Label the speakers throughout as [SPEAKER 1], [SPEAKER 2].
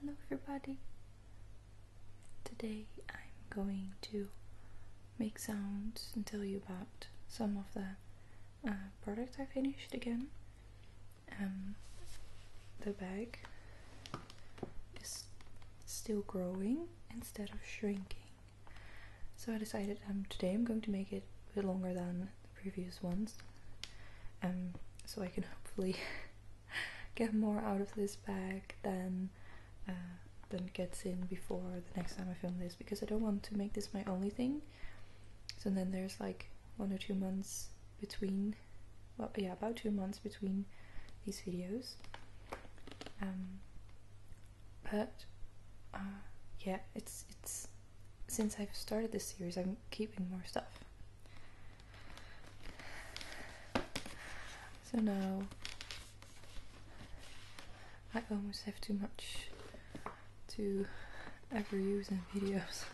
[SPEAKER 1] Hello everybody! Today I'm going to make sounds and tell you about some of the uh, products I finished again. Um, the bag is still growing instead of shrinking. So I decided um, today I'm going to make it a bit longer than previous ones. Um, so I can hopefully get more out of this bag than uh, than gets in before the next time I film this because I don't want to make this my only thing. So then there's like one or two months between, well, yeah, about two months between these videos. Um, but uh, yeah, it's it's since I've started this series, I'm keeping more stuff. So now I almost have too much to ever use in videos.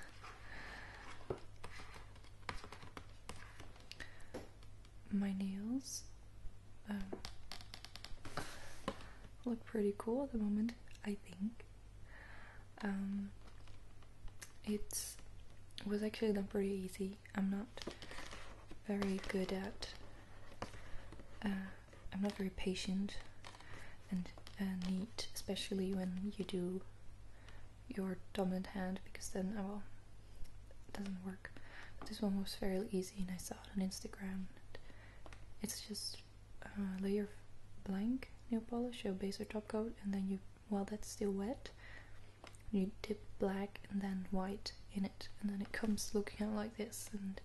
[SPEAKER 1] My nails um, look pretty cool at the moment, I think. Um, it was actually not pretty easy. I'm not very good at. Uh, I'm not very patient and uh, neat, especially when you do your dominant hand because then, oh well, it doesn't work. But this one was very easy and I saw it on Instagram. It's just a uh, layer of blank nail polish, your base or top coat, and then you while that's still wet. You dip black and then white in it, and then it comes looking out like this. And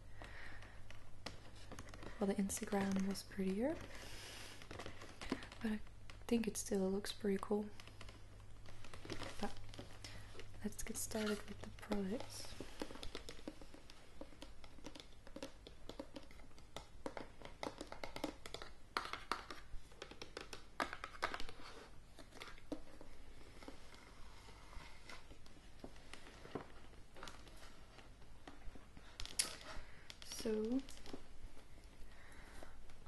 [SPEAKER 1] well, the Instagram was prettier, but I think it still looks pretty cool. But let's get started with the products. So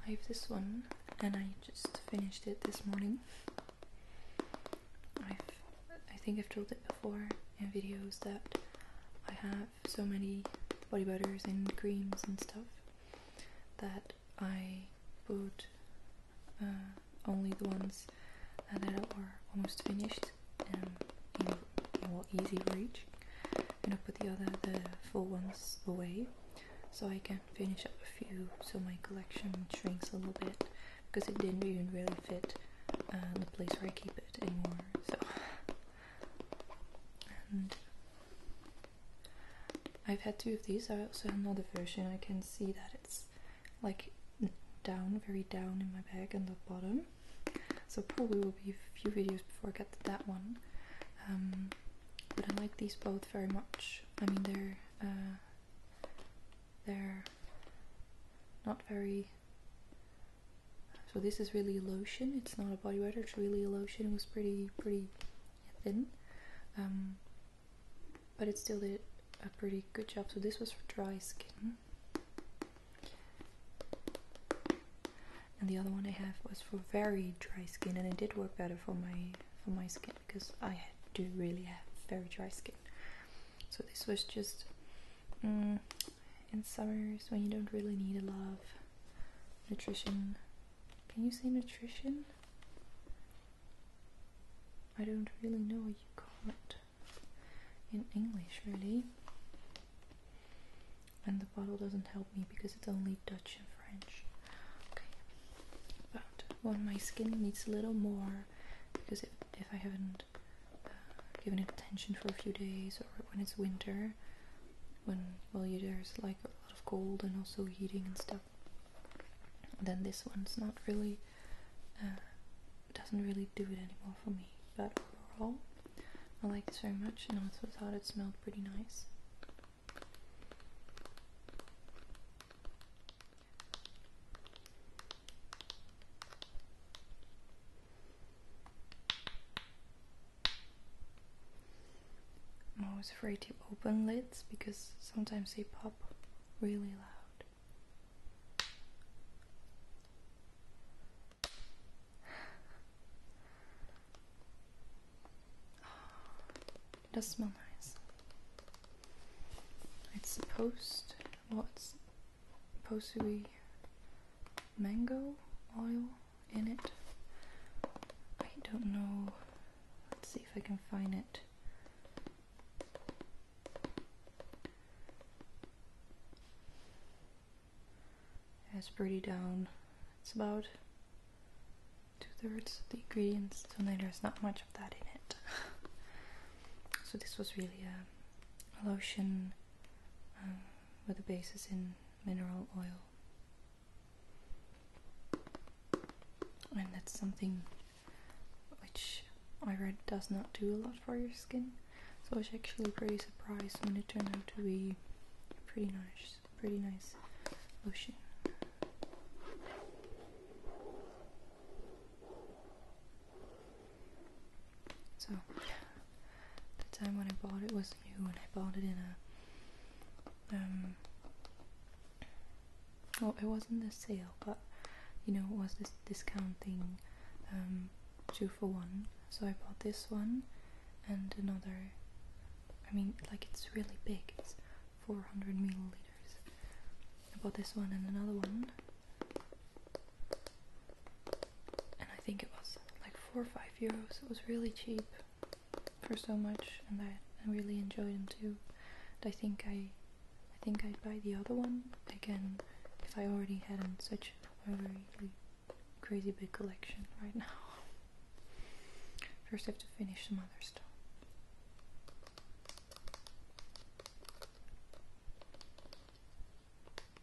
[SPEAKER 1] I have this one and I just finished it this morning. I've I think I've told it before in videos that I have so many body butters and creams and stuff that I put uh, only the ones that are almost finished and in, easy reach and I put the other the full ones away so I can finish up a few so my collection shrinks a little bit because it didn't even really fit uh, the place where I keep it anymore so I've had two of these. I also have another version. I can see that it's like down, very down in my bag on the bottom. So probably will be a few videos before I get to that one. Um, but I like these both very much. I mean they're uh, they're not very so this is really a lotion. It's not a body butter. It's really a lotion. It was pretty pretty thin, um, but it still did a pretty good job. So this was for dry skin. And the other one I have was for very dry skin, and it did work better for my for my skin because I do really have very dry skin. So this was just mm, in summers when you don't really need a lot of nutrition. Can you say nutrition? I don't really know what you call it in English, really. And the bottle doesn't help me because it's only Dutch and French. Okay, but when my skin needs a little more, because if, if I haven't uh, given it attention for a few days or when it's winter, when well there's like a lot of cold and also heating and stuff then this one's not really uh, doesn't really do it anymore for me but overall I like this very much and also thought it smelled pretty nice I'm always afraid to open lids because sometimes they pop really loud. It does smell nice. It's supposed, well, supposed to be mango oil in it. I don't know. Let's see if I can find it. It's pretty down. It's about two thirds of the ingredients, so there's not much of that in it. so this was really um, a, lotion um, with a basis in mineral oil and that's something which I read does not do a lot for your skin so I was actually pretty surprised when it turned out to be pretty nice pretty nice lotion so the time when I bought it was new and I bought it in a um well it wasn't a sale but you know it was this discount thing um two for one so I bought this one and another I mean like it's really big it's 400 milliliters I bought this one and another one and I think it was like four or five euros. It was really cheap for so much, and I, I really enjoyed them too. And I think I, I think I'd buy the other one again if I already had such a really crazy big collection right now. First, I have to finish some other stuff.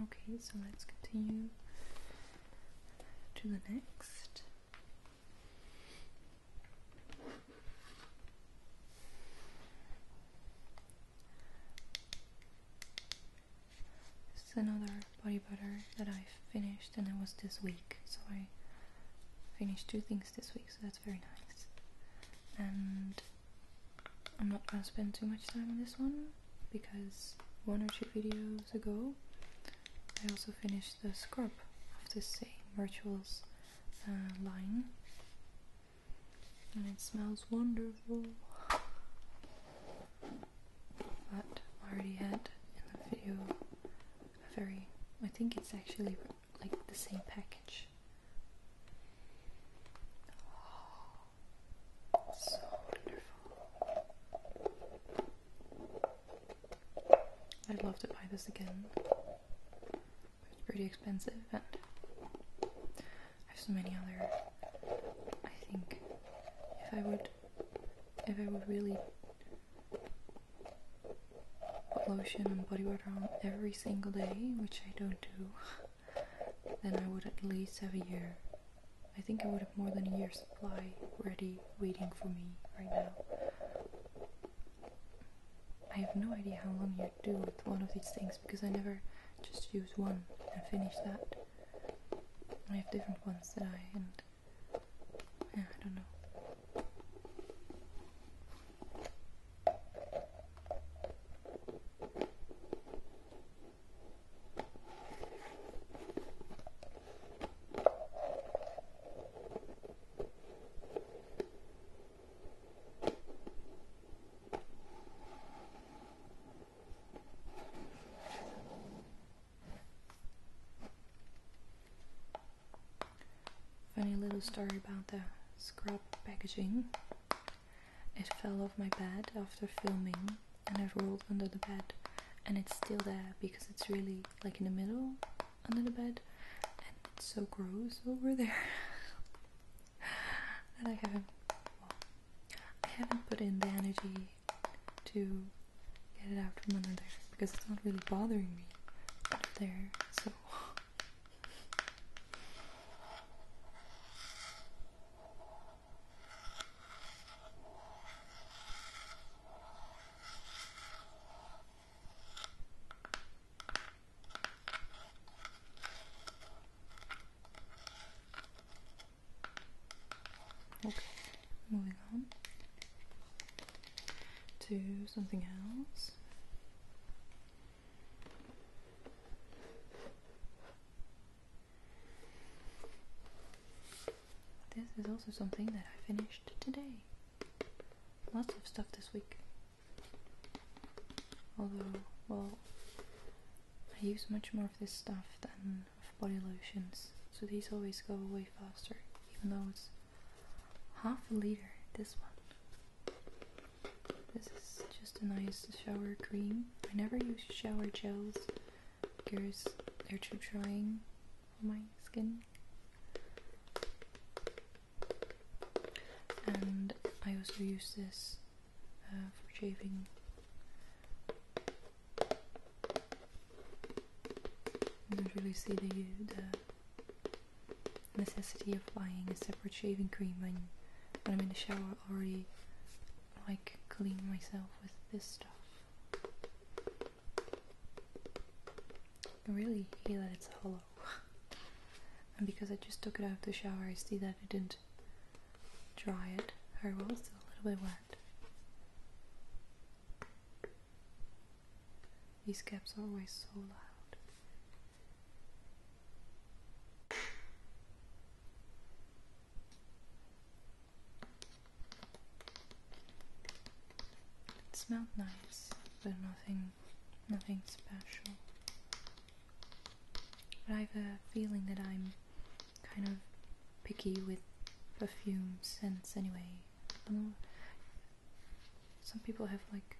[SPEAKER 1] Okay, so let's continue to the next. This is another body butter that I finished and it was this week, so I finished two things this week, so that's very nice. And I'm not gonna spend too much time on this one because one or two videos ago I also finished the scrub of the same Rituals uh, line and it smells wonderful but I already had in the video a very I think it's actually like the same package so wonderful I'd love to buy this again. It's pretty expensive, and I have so many other. I think if I would, if I would really put lotion and body water on every single day, which I don't do, then I would at least have a year I think I would have more than a year's supply ready waiting for me right now. I have no idea how long you do with one of these things because I never just use one and finish that. I have different ones that I and yeah, I don't know. Funny little story about the scrub packaging. It fell off my bed after filming and I've rolled under the bed and it's still there because it's really like in the middle under the bed and it's so gross over there that I haven't I haven't put in the energy to get it out from under there because it's not really bothering me under there so Okay, moving on to something else. This is also something that I finished today. Lots of stuff this week. Although, well, I use much more of this stuff than of body lotions, so these always go away faster, even though it's half a liter. This one. This is just a nice shower cream. I never use shower gels Here's their tube showing on my skin. And I also use this uh, for shaving. You don't really see the, necessity of buying a separate shaving cream when, when I'm in the shower I already like clean myself with this stuff. I really hear that it's hollow. and because I just took it out of the shower, I see that I didn't dry it very well, it's still a little bit wet. These caps are always so loud. It smelled nice, but nothing, nothing special. But I have a feeling that I'm kind of picky with perfume scents anyway. Some people have like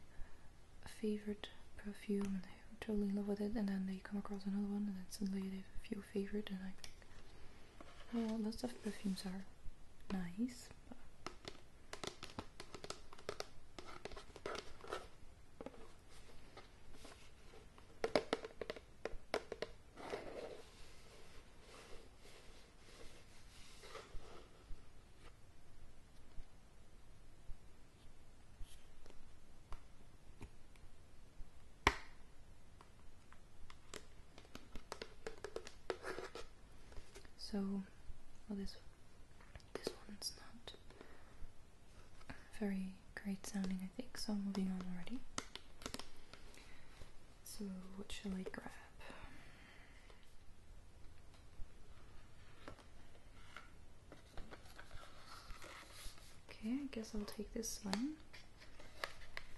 [SPEAKER 1] a favorite perfume and they're totally in love with it, and then they come across another one, and suddenly they feel a favorite, and I well, lots of perfumes are nice. So, this this one's not very great sounding, I think. So, I'm moving on already. So, what shall I grab? Okay, I guess I'll take this one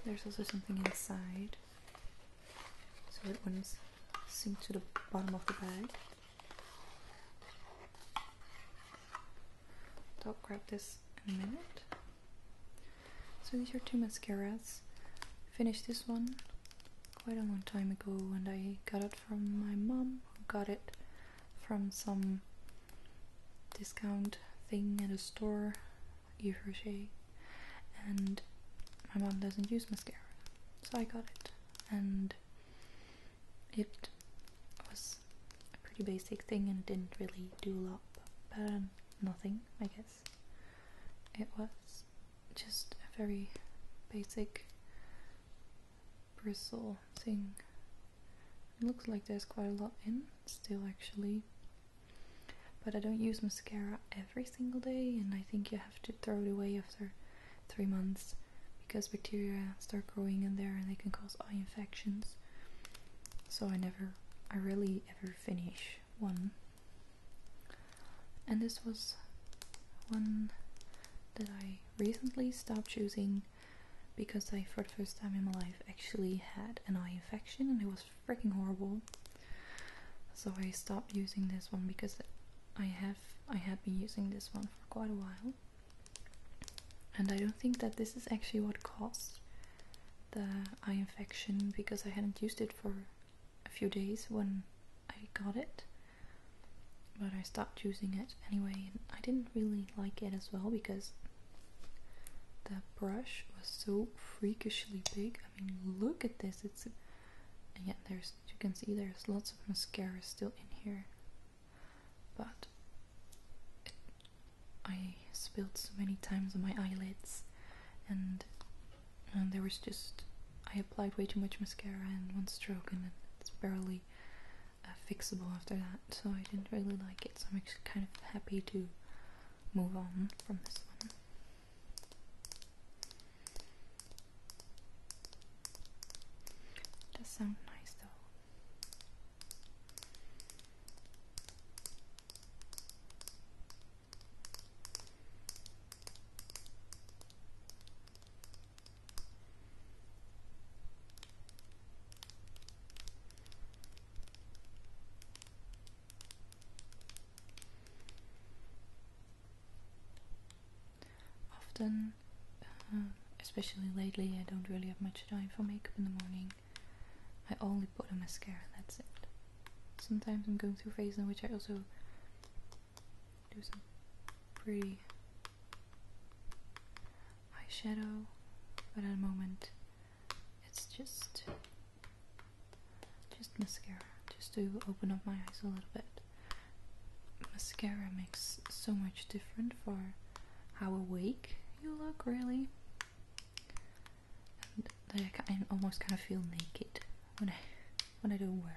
[SPEAKER 1] there's also something inside so it wouldn't sink to the bottom of the bag. I'll grab this in a minute. So these are two mascaras. Finished this one quite a long time ago and I got it from my mom got it from some discount thing at a store Yves Rocher, and my mom doesn't use mascara, so I got it, and it was a pretty basic thing and didn't really do a lot, but um, nothing, I guess. It was just a very basic bristle thing. looks like there's quite a lot in still actually but I don't use mascara every single day, and I think you have to throw it away after three months because bacteria start growing in there and they can cause eye infections. So I never, I really ever finish one. And this was one that I recently stopped using because I, for the first time in my life, actually had an eye infection and it was freaking horrible. So I stopped using this one because I have I had been using this one for quite a while. And I don't think that this is actually what caused the eye infection because I hadn't used it for a few days when I got it. But I stopped using it anyway and I didn't really like it as well because that brush was so freakishly big. I mean, look at this. It's and there's you can see there's lots of mascara still in here, but I spilled so many times on my eyelids, and there was just I applied way too much mascara in one stroke, and it's barely uh, fixable after that. So I didn't really like it. So I'm actually kind of happy to move on from this one. does sound nice though. Often, uh, especially lately, I don't really have much time for makeup in the morning. I only put on mascara, that's it. Sometimes I'm going through phases in which I also do some pretty eyeshadow, but at the moment it's just just mascara, just to open up my eyes a little bit. Mascara makes so much different for how awake you look, really. And like I almost kind of feel naked when I when I don't wear it.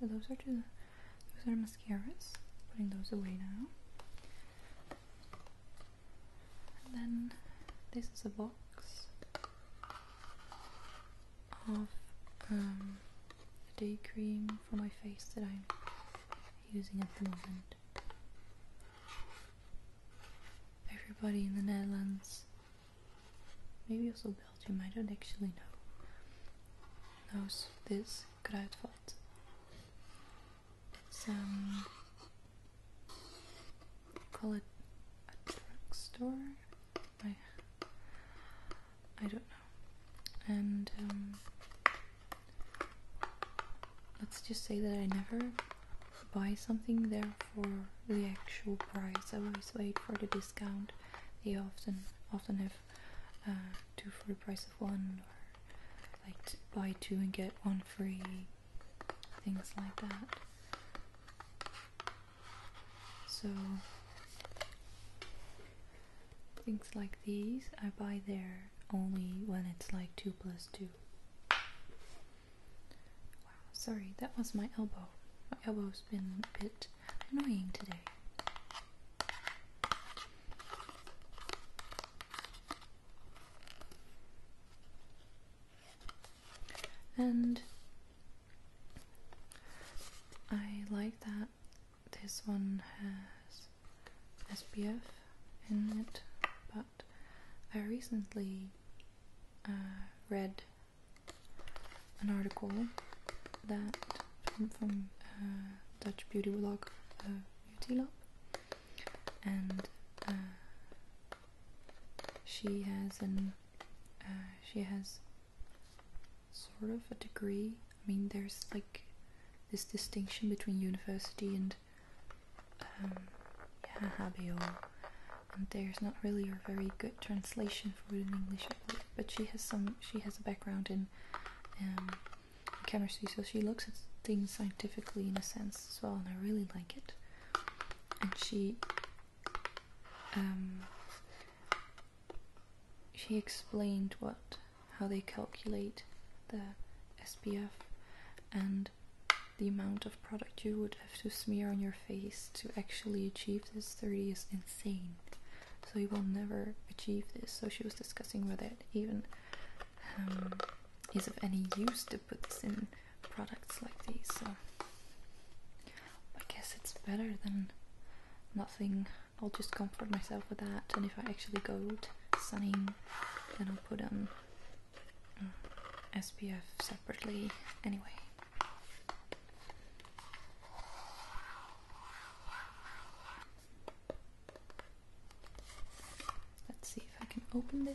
[SPEAKER 1] So those are two, those are mascaras. Putting those away now. then this is a box of um, the day cream for my face that I'm using at the moment. Everybody in the Netherlands, maybe also Belgium, I don't actually know, knows this kruidvat. It's um, call it a drugstore. I I don't know, and um, let's just say that I never buy something there for the actual price. I always wait for the discount. They often often have uh, two for the price of one, or like buy two and get one free, things like that. So things like these I buy there only when it's like 2 plus 2. Wow, sorry, that was my elbow. My elbow's been a bit annoying today. And I like that this one has SPF in it, but I recently uh, read an article that from, uh, Dutch beauty blog uh, Beauty Lab, and uh, she has an she has sort of a degree I mean, there's like this distinction between university and um, yeah, HBO, and there's not really a very good translation for it in English, But she has some. She has a background um, in chemistry, so she looks at things scientifically in a sense as well, and I really like it. And she, um, she explained what how they calculate the SPF and the amount of product you would have to smear on your face to actually achieve this 30 is insane. So you will never achieve this. So she was discussing whether it even um, is of any use to put this in products like these. So I guess it's better than nothing I'll just comfort myself with that. And if I actually go to sunning, then I'll put on um, SPF separately. Anyway. Let's see if I can open this.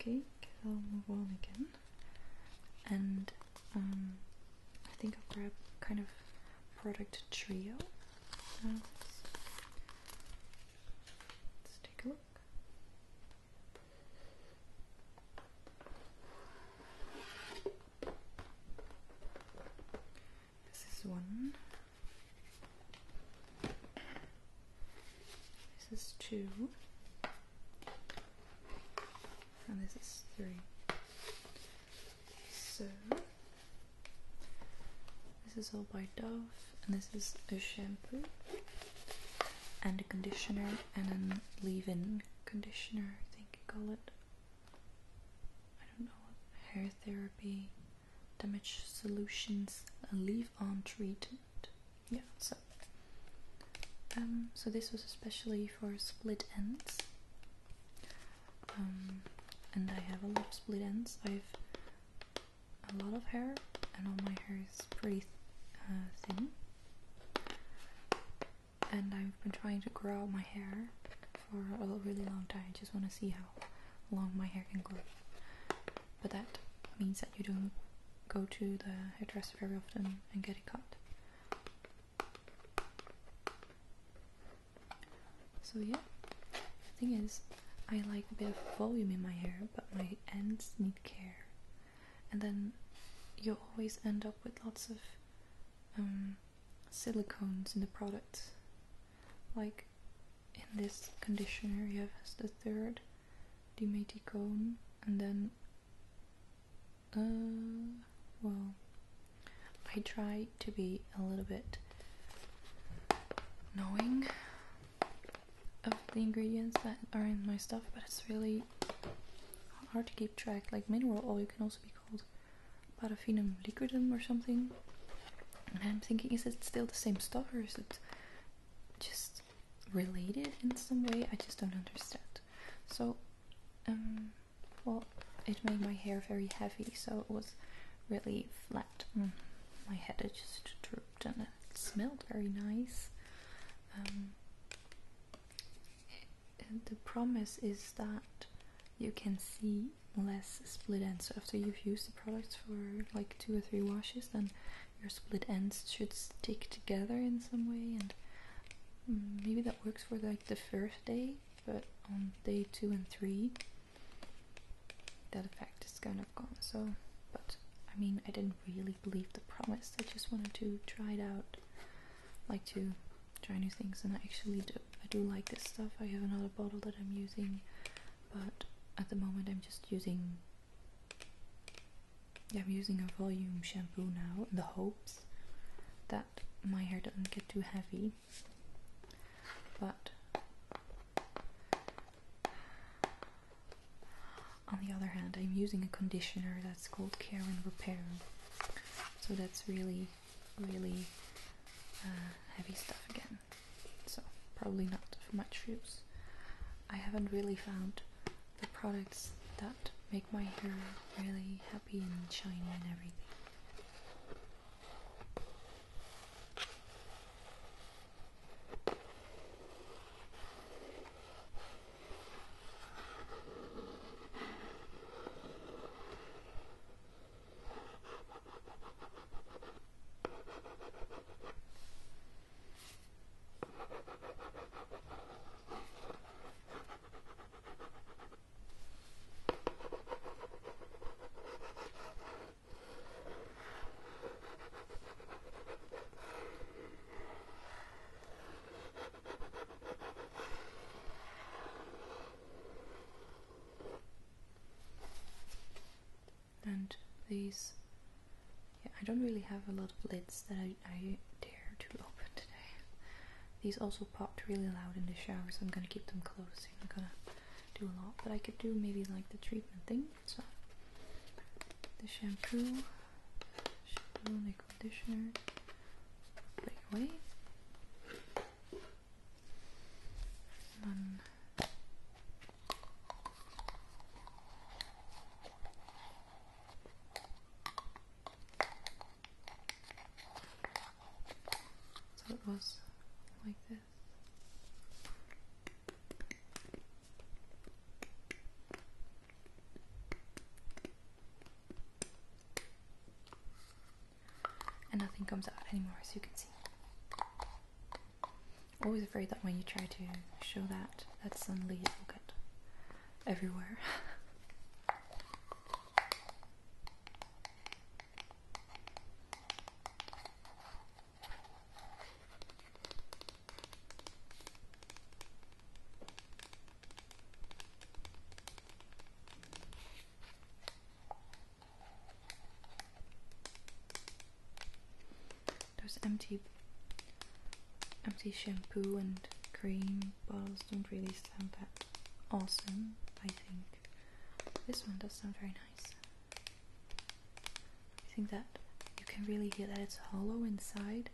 [SPEAKER 1] Okay, I'll move on again and um, I think i have grab kind of product trio. let's take a look. This is one. This is two. And this is three. So this is all by Dove and this is a shampoo and a conditioner and a leave-in conditioner I think you call it. I don't know hair therapy damage solutions a leave-on treatment yeah so um, so this was especially for split ends um, and I have a lot of split ends I've a lot of hair and all my hair is pretty uh, thin and I've been trying to grow out my hair for a really long time I just want to see how long my hair can grow but that means that you don't go to the hairdresser very often and get it cut. So yeah, the thing is, I like a bit of volume in my hair, but my ends need care. And then you always end up with lots of um, silicones in the products, Like in this conditioner, you have the third Demeticon and then uh, well I try to be a little bit knowing of the ingredients that are in my stuff but it's really hard to keep track like mineral oil can also be called paraffinum liquidum or something and I'm thinking is it still the same stuff or is it just related in some way. I just don't understand. So, um, well, it made my hair very heavy, so it was really flat. Mm. My head just drooped, and it smelled very nice. Um, the promise is that you can see less split ends. after you've used the products for like two or three washes, then your split ends should stick together in some way and mm, maybe that works for like the first day but on day two and three that effect is kind of gone so but I mean I didn't really believe the promise I just wanted to try it out like to try new things and I actually do I do like this stuff I have another bottle that I'm using but at the moment I'm just using I'm using a volume shampoo now in the hopes that my hair doesn't get too heavy. But on the other hand, I'm using a conditioner that's called Care and Repair. So that's really, really uh, heavy stuff again. So probably not for my use. I haven't really found the products that make my hair really happy and shiny and everything. And these I don't really have a lot of lids that I, dare to open today. These also popped really loud in the shower, so I'm gonna keep them closed. I'm not gonna do a lot, but I could do maybe like the treatment thing. So the shampoo, shampoo the conditioner, right away. And so it was like this. And nothing comes out anymore, as you can see always afraid that when you try to show that, that suddenly it will get everywhere. Those empty, empty shampoo and cream bottles don't really sound that awesome. I think this one does sound very nice. I think that you can really hear that it's hollow inside.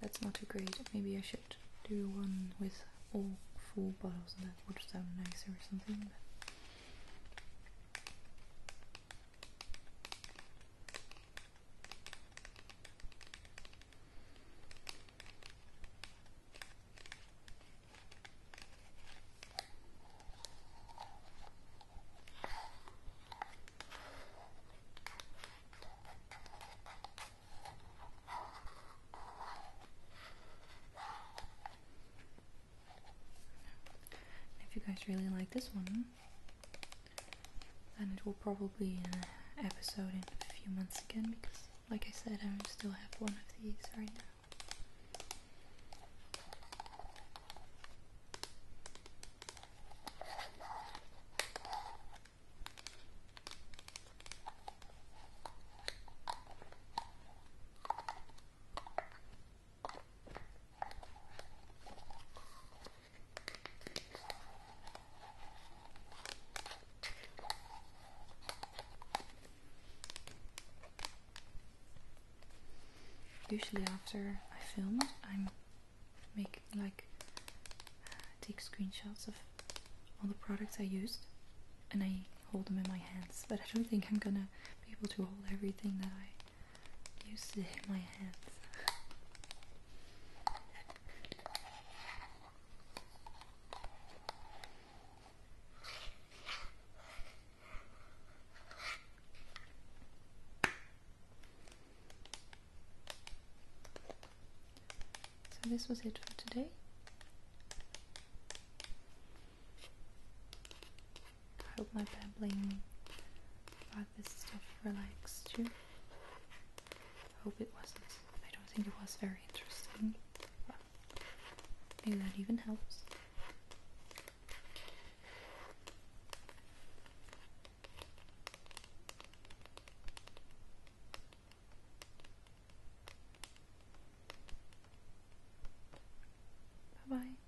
[SPEAKER 1] That's not too great. Maybe I should do one with all full bottles, and that would sound nicer or something. If you guys really like this one, and it will probably be uh, an episode in a few months again because, like I said, I still have one of these right now. Usually after I film, I'm making like uh, take screenshots of all the products I used and I hold them in my hands but I don't think I'm gonna be able to hold everything that I used to hit my hands. So this was it for today. I hope my babbling this stuff relaxed you. Hope it wasn't. I don't think it was very interesting. Well, maybe that even helps. Bye bye.